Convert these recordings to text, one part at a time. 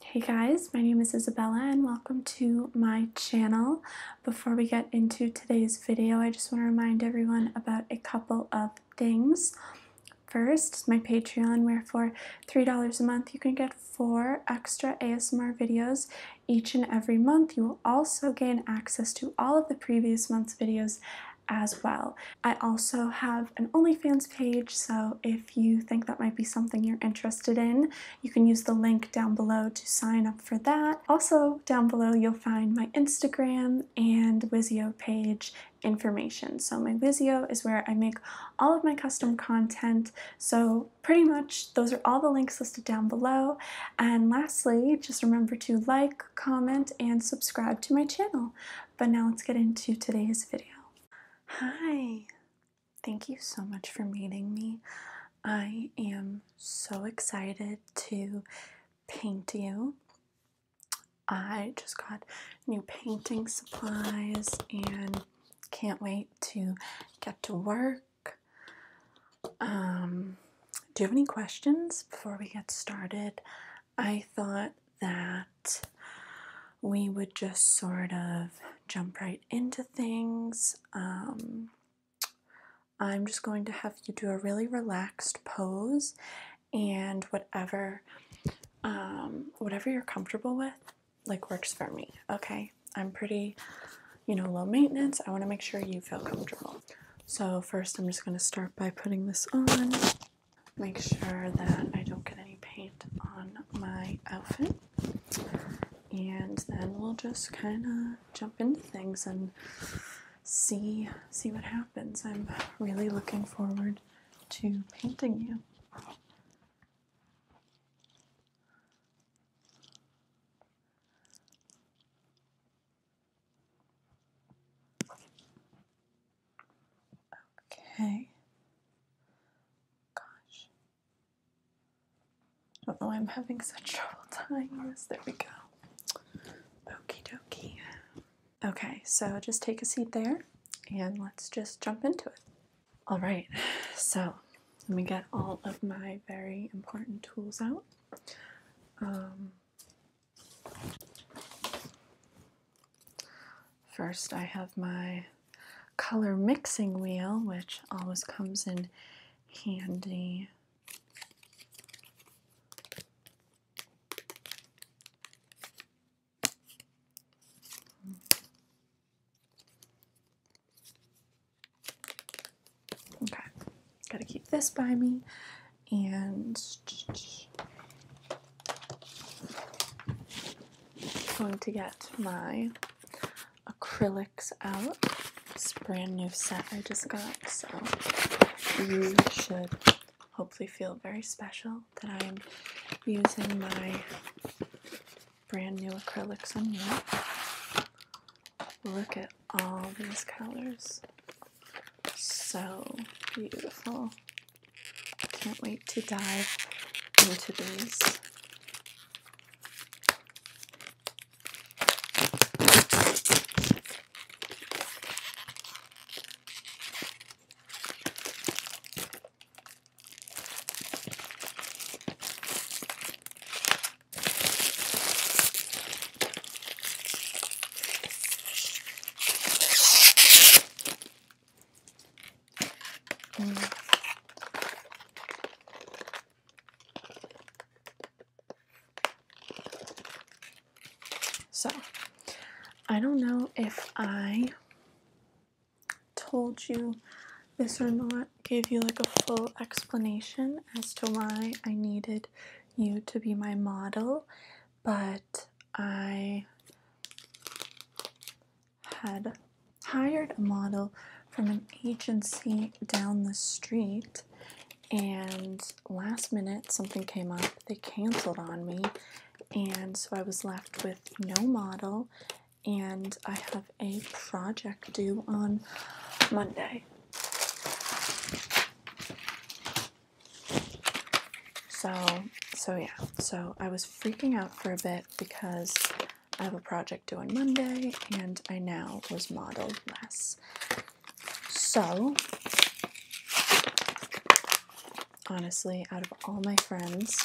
Hey guys, my name is Isabella and welcome to my channel. Before we get into today's video, I just want to remind everyone about a couple of things. First, my Patreon, where for $3 a month you can get four extra ASMR videos each and every month. You will also gain access to all of the previous month's videos as well. I also have an OnlyFans page, so if if you think that might be something you're interested in. You can use the link down below to sign up for that. Also, down below, you'll find my Instagram and Wizio page information. So my Vizio is where I make all of my custom content. So pretty much those are all the links listed down below. And lastly, just remember to like, comment, and subscribe to my channel. But now let's get into today's video. Hi, Thank you so much for meeting me. I am so excited to paint you. I just got new painting supplies and can't wait to get to work. Um, do you have any questions before we get started? I thought that we would just sort of jump right into things. Um, I'm just going to have you do a really relaxed pose and whatever um, whatever you're comfortable with like works for me okay I'm pretty you know low maintenance I want to make sure you feel comfortable so first I'm just going to start by putting this on make sure that I don't get any paint on my outfit. And then we'll just kind of jump into things and see see what happens. I'm really looking forward to painting you. Okay. Gosh. Don't know I'm having such trouble tying this. There we go. Okie dokie. Okay, so just take a seat there and let's just jump into it. All right, so let me get all of my very important tools out. Um, First, I have my color mixing wheel, which always comes in handy. Okay, gotta keep this by me and going to get my acrylics out. It's a brand new set I just got, so you should hopefully feel very special that I'm using my brand new acrylics on you. Look at all these colors. So beautiful. I can't wait to dive into these. So, I don't know if I told you this or not, gave you like a full explanation as to why I needed you to be my model, but I had hired a model from an agency down the street, and last minute something came up. They canceled on me, and so I was left with no model. And I have a project due on Monday. So, so yeah, so I was freaking out for a bit because I have a project due on Monday and I now was modeled less. So, honestly, out of all my friends,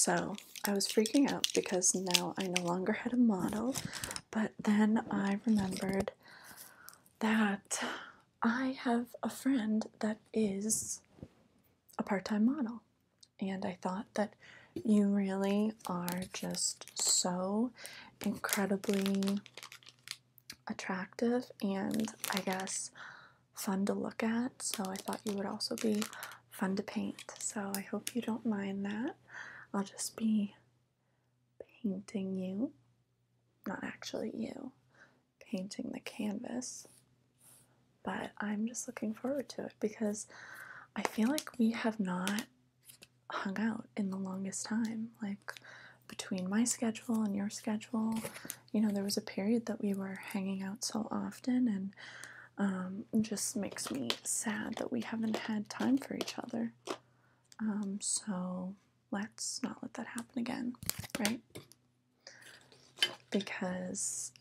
so I was freaking out because now I no longer had a model, but then I remembered that I have a friend that is a part time model. And I thought that you really are just so incredibly attractive and I guess fun to look at. So I thought you would also be fun to paint. So I hope you don't mind that. I'll just be painting you. Not actually you, painting the canvas. But I'm just looking forward to it because I feel like we have not hung out in the longest time. Like, between my schedule and your schedule. You know, there was a period that we were hanging out so often, and it um, just makes me sad that we haven't had time for each other. Um, so let's not let that happen again, right? Because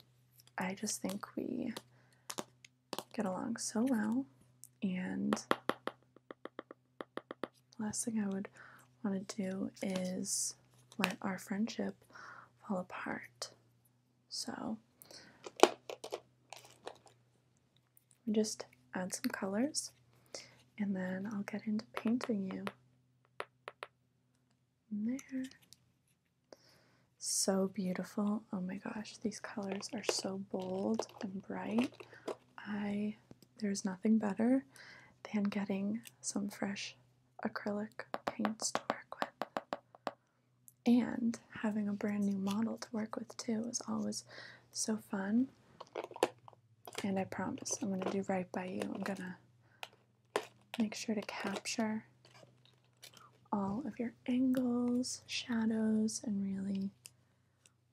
I just think we get along so well, and last thing I would want to do is let our friendship fall apart. So we just add some colors and then I'll get into painting you. there. So beautiful. Oh my gosh, these colors are so bold and bright. I there's nothing better than getting some fresh acrylic paints to work with. And having a brand new model to work with too is always so fun. And I promise I'm going to do right by you. I'm going to make sure to capture all of your angles, shadows, and really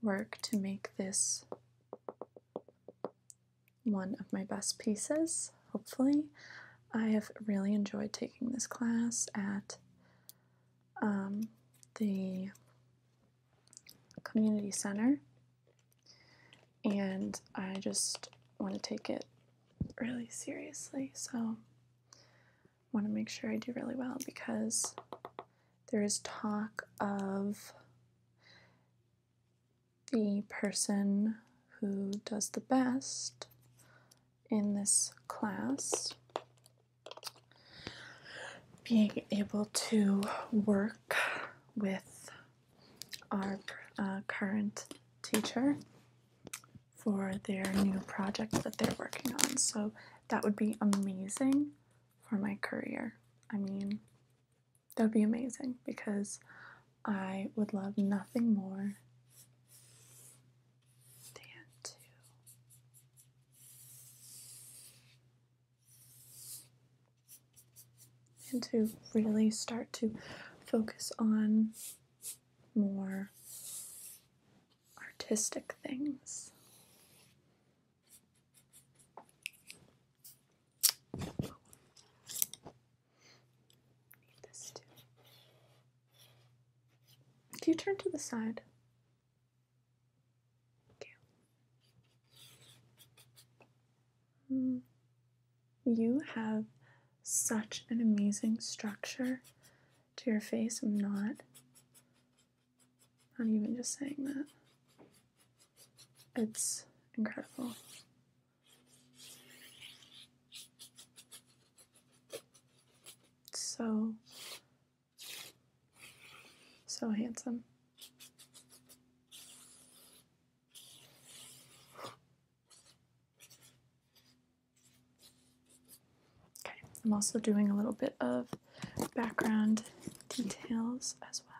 work to make this one of my best pieces, hopefully. I have really enjoyed taking this class at um, the community center, and I just want to take it really seriously. So, I want to make sure I do really well because there is talk of the person who does the best in this class being able to work with our uh, current teacher for their new project that they're working on. So that would be amazing for my career. I mean, that would be amazing because I would love nothing more than to and to really start to focus on more artistic things Need you turn to the side? You have such an amazing structure to your face. I'm not I'm even just saying that. It's incredible. So, so handsome. Okay, I'm also doing a little bit of background details as well.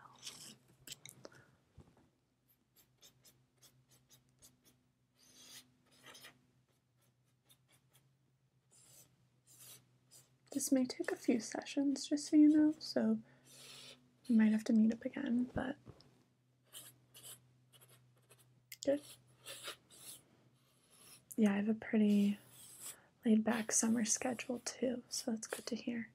This may take a few sessions, just so you know, so we might have to meet up again, but good yeah, I have a pretty laid back summer schedule too, so that's good to hear.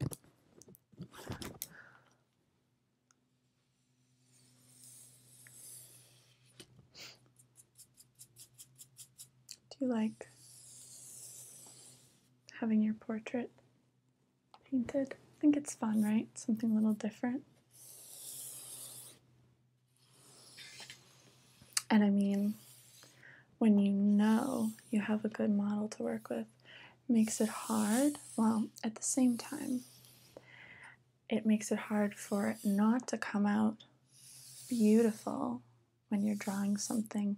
Do you like having your portrait painted? I think it's fun, right? Something a little different. And I mean, when you know you have a good model to work with, makes it hard. Well, at the same time, it makes it hard for it not to come out beautiful when you're drawing something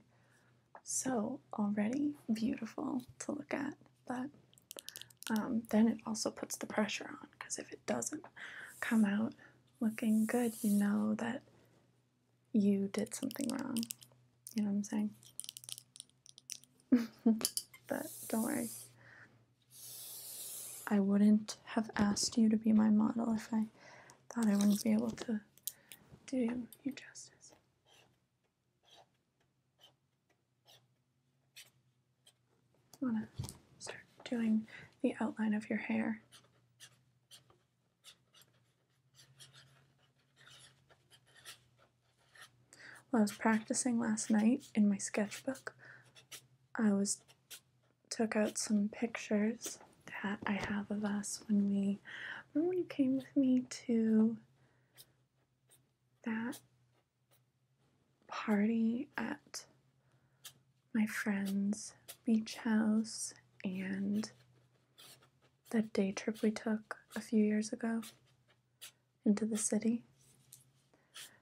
so already beautiful to look at but um, then it also puts the pressure on because if it doesn't come out looking good, you know that you did something wrong. You know what I'm saying? but don't worry. I wouldn't have asked you to be my model if I thought I wouldn't be able to do you justice. I want to start doing the outline of your hair. While I was practicing last night in my sketchbook, I was took out some pictures that I have of us when we when you came with me to that party at my friend's beach house and that day trip we took a few years ago into the city.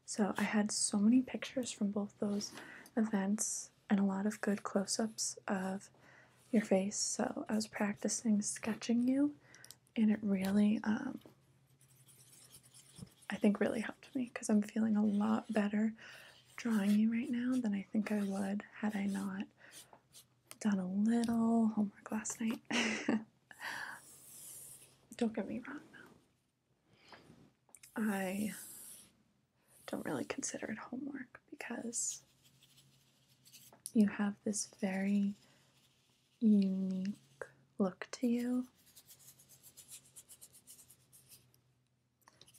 So I had so many pictures from both those events and a lot of good close ups of your face. So I was practicing sketching you and it really um, I think really helped me because I'm feeling a lot better drawing you right now than I think I would had I not done a little homework last night. don't get me wrong I don't really consider it homework because you have this very unique look to you.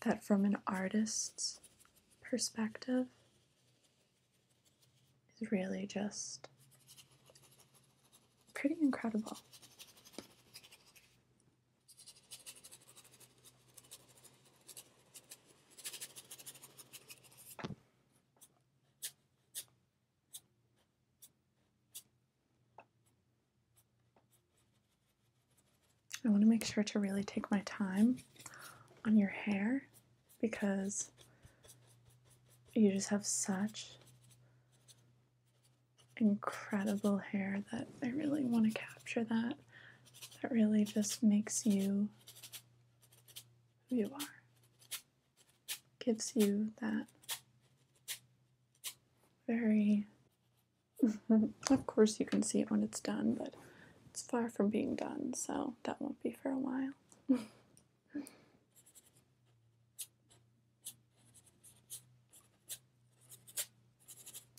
That from an artist's perspective is really just pretty incredible. I want to make sure to really take my time on your hair because you just have such incredible hair that I really want to capture that. That really just makes you who you are gives you that very. of course, you can see it when it's done, but it's far from being done, so that won't be for a while.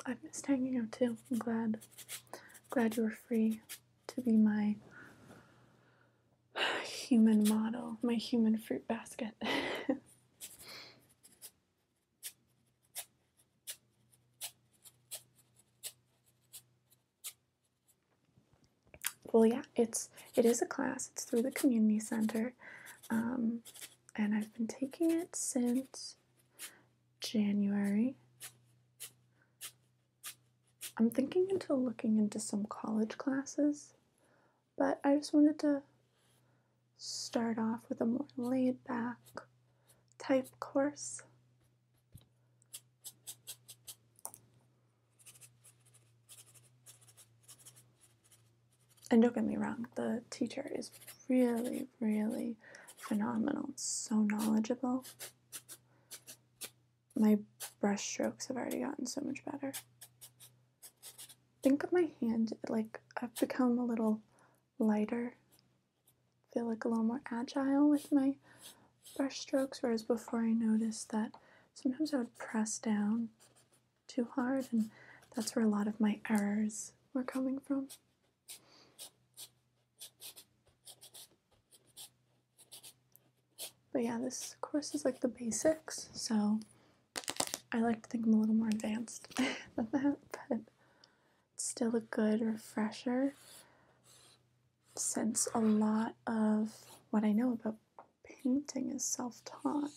I missed hanging out too. I'm glad, glad you are free to be my human model, my human fruit basket. well, yeah, it's it is a class. It's through the community center, um, and I've been taking it since January I'm thinking into looking into some college classes, but I just wanted to start off with a more laid back type course. And don't get me wrong, the teacher is really, really phenomenal, so knowledgeable. My brush strokes have already gotten so much better. Think of my hand, like I've become a little lighter. feel like a little more agile with my brush strokes, whereas before I noticed that sometimes I would press down too hard, and that's where a lot of my errors were coming from. But yeah, this course is like the basics, so I like to think I'm a little more advanced than that, but it's still a good refresher since a lot of what I know about painting is self taught.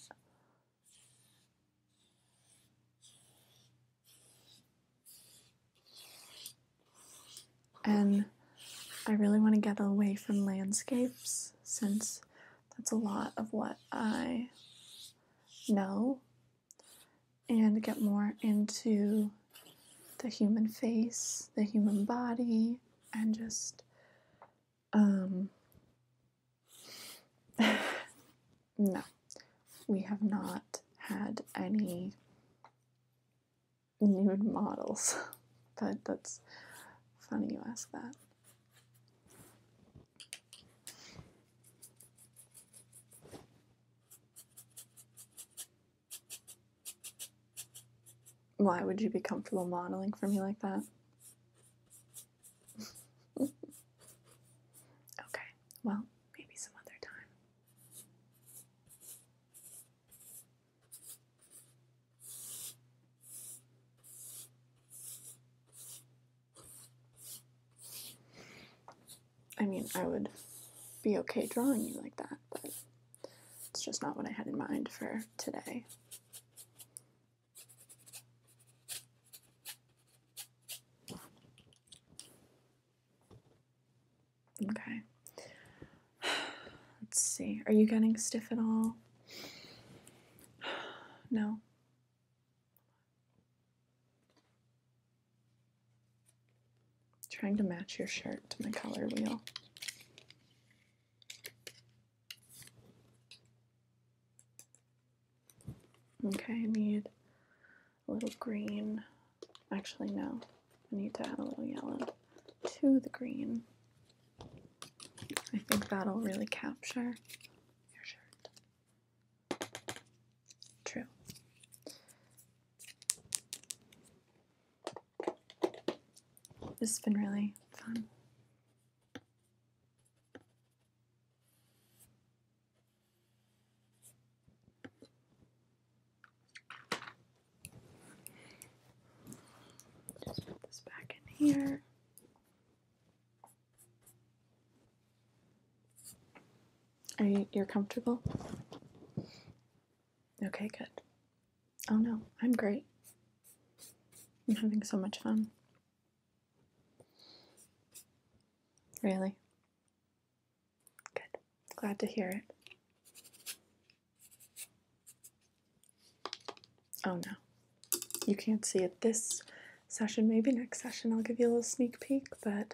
And I really want to get away from landscapes since that's a lot of what I know and get more into the human face, the human body, and just um, no. We have not had any nude models. But that's funny you ask that. Why would you be comfortable modeling for me like that? okay, well, maybe some other time. I mean, I would be okay drawing you like that, but it's just not what I had in mind for today. Okay. Let's see. Are you getting stiff at all? No. Trying to match your shirt to my color wheel. Okay, I need a little green. Actually, no, I need to add a little yellow to the green. I think that'll really capture your shirt. True. This has been really fun. Just put this back in here. Are you you're comfortable? Okay, good. Oh no, I'm great. I'm having so much fun. Really? Good. Glad to hear it. Oh no. You can't see it this session. Maybe next session I'll give you a little sneak peek, but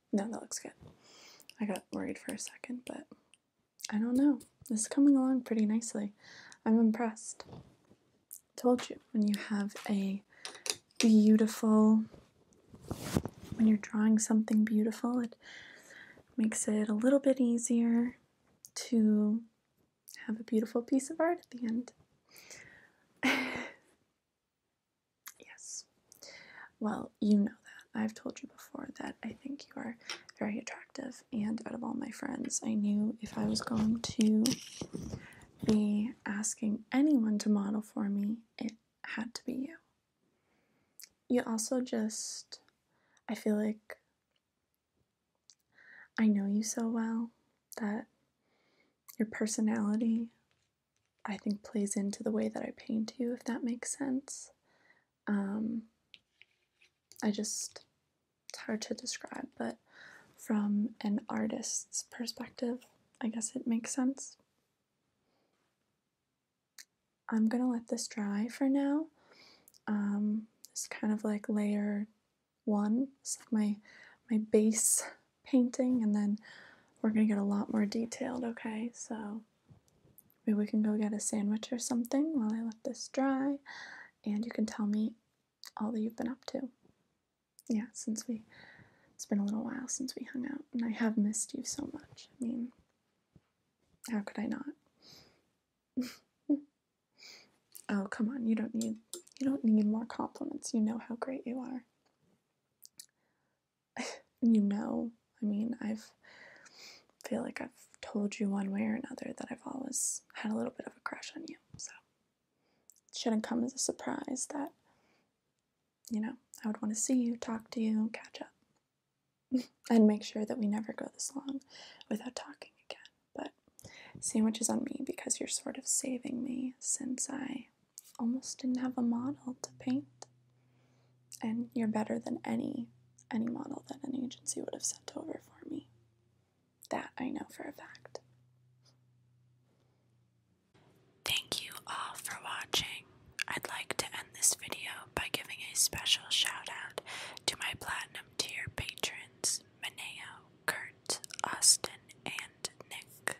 No, that looks good. I got worried for a second, but I don't know. This is coming along pretty nicely. I'm impressed. Told you, when you have a beautiful, when you're drawing something beautiful, it makes it a little bit easier to have a beautiful piece of art at the end. Yes. Well, you know that. I've told you before that I think you are very attractive, and out of all my friends, I knew if I was going to be asking anyone to model for me, it had to be you. You also just, I feel like I know you so well that your personality I think plays into the way that I paint you, if that makes sense. Um, I just, it's hard to describe, but from an artist's perspective, I guess it makes sense. I'm gonna let this dry for now. Um, it's kind of like layer one, it's like my, my base painting, and then we're gonna get a lot more detailed, okay? So Maybe we can go get a sandwich or something while I let this dry, and you can tell me all that you've been up to. Yeah, since we it's been a little while since we hung out, and I have missed you so much. I mean, how could I not? oh, come on, you don't need you don't need more compliments. You know how great you are you know, I mean, I've feel like I've told you one way or another that I've always had a little bit of a crush on you. So it shouldn't come as a surprise that you know, I would want to see you, talk to you, catch up. and make sure that we never go this long without talking again. But is on me because you're sort of saving me since I almost didn't have a model to paint. And you're better than any any model that any agency would have sent over for me. That I know for a fact. Thank you all for watching. I'd like to end this video by giving a special shout out to my platinum tier patrons, Maneo, Kurt, Austin, and Nick.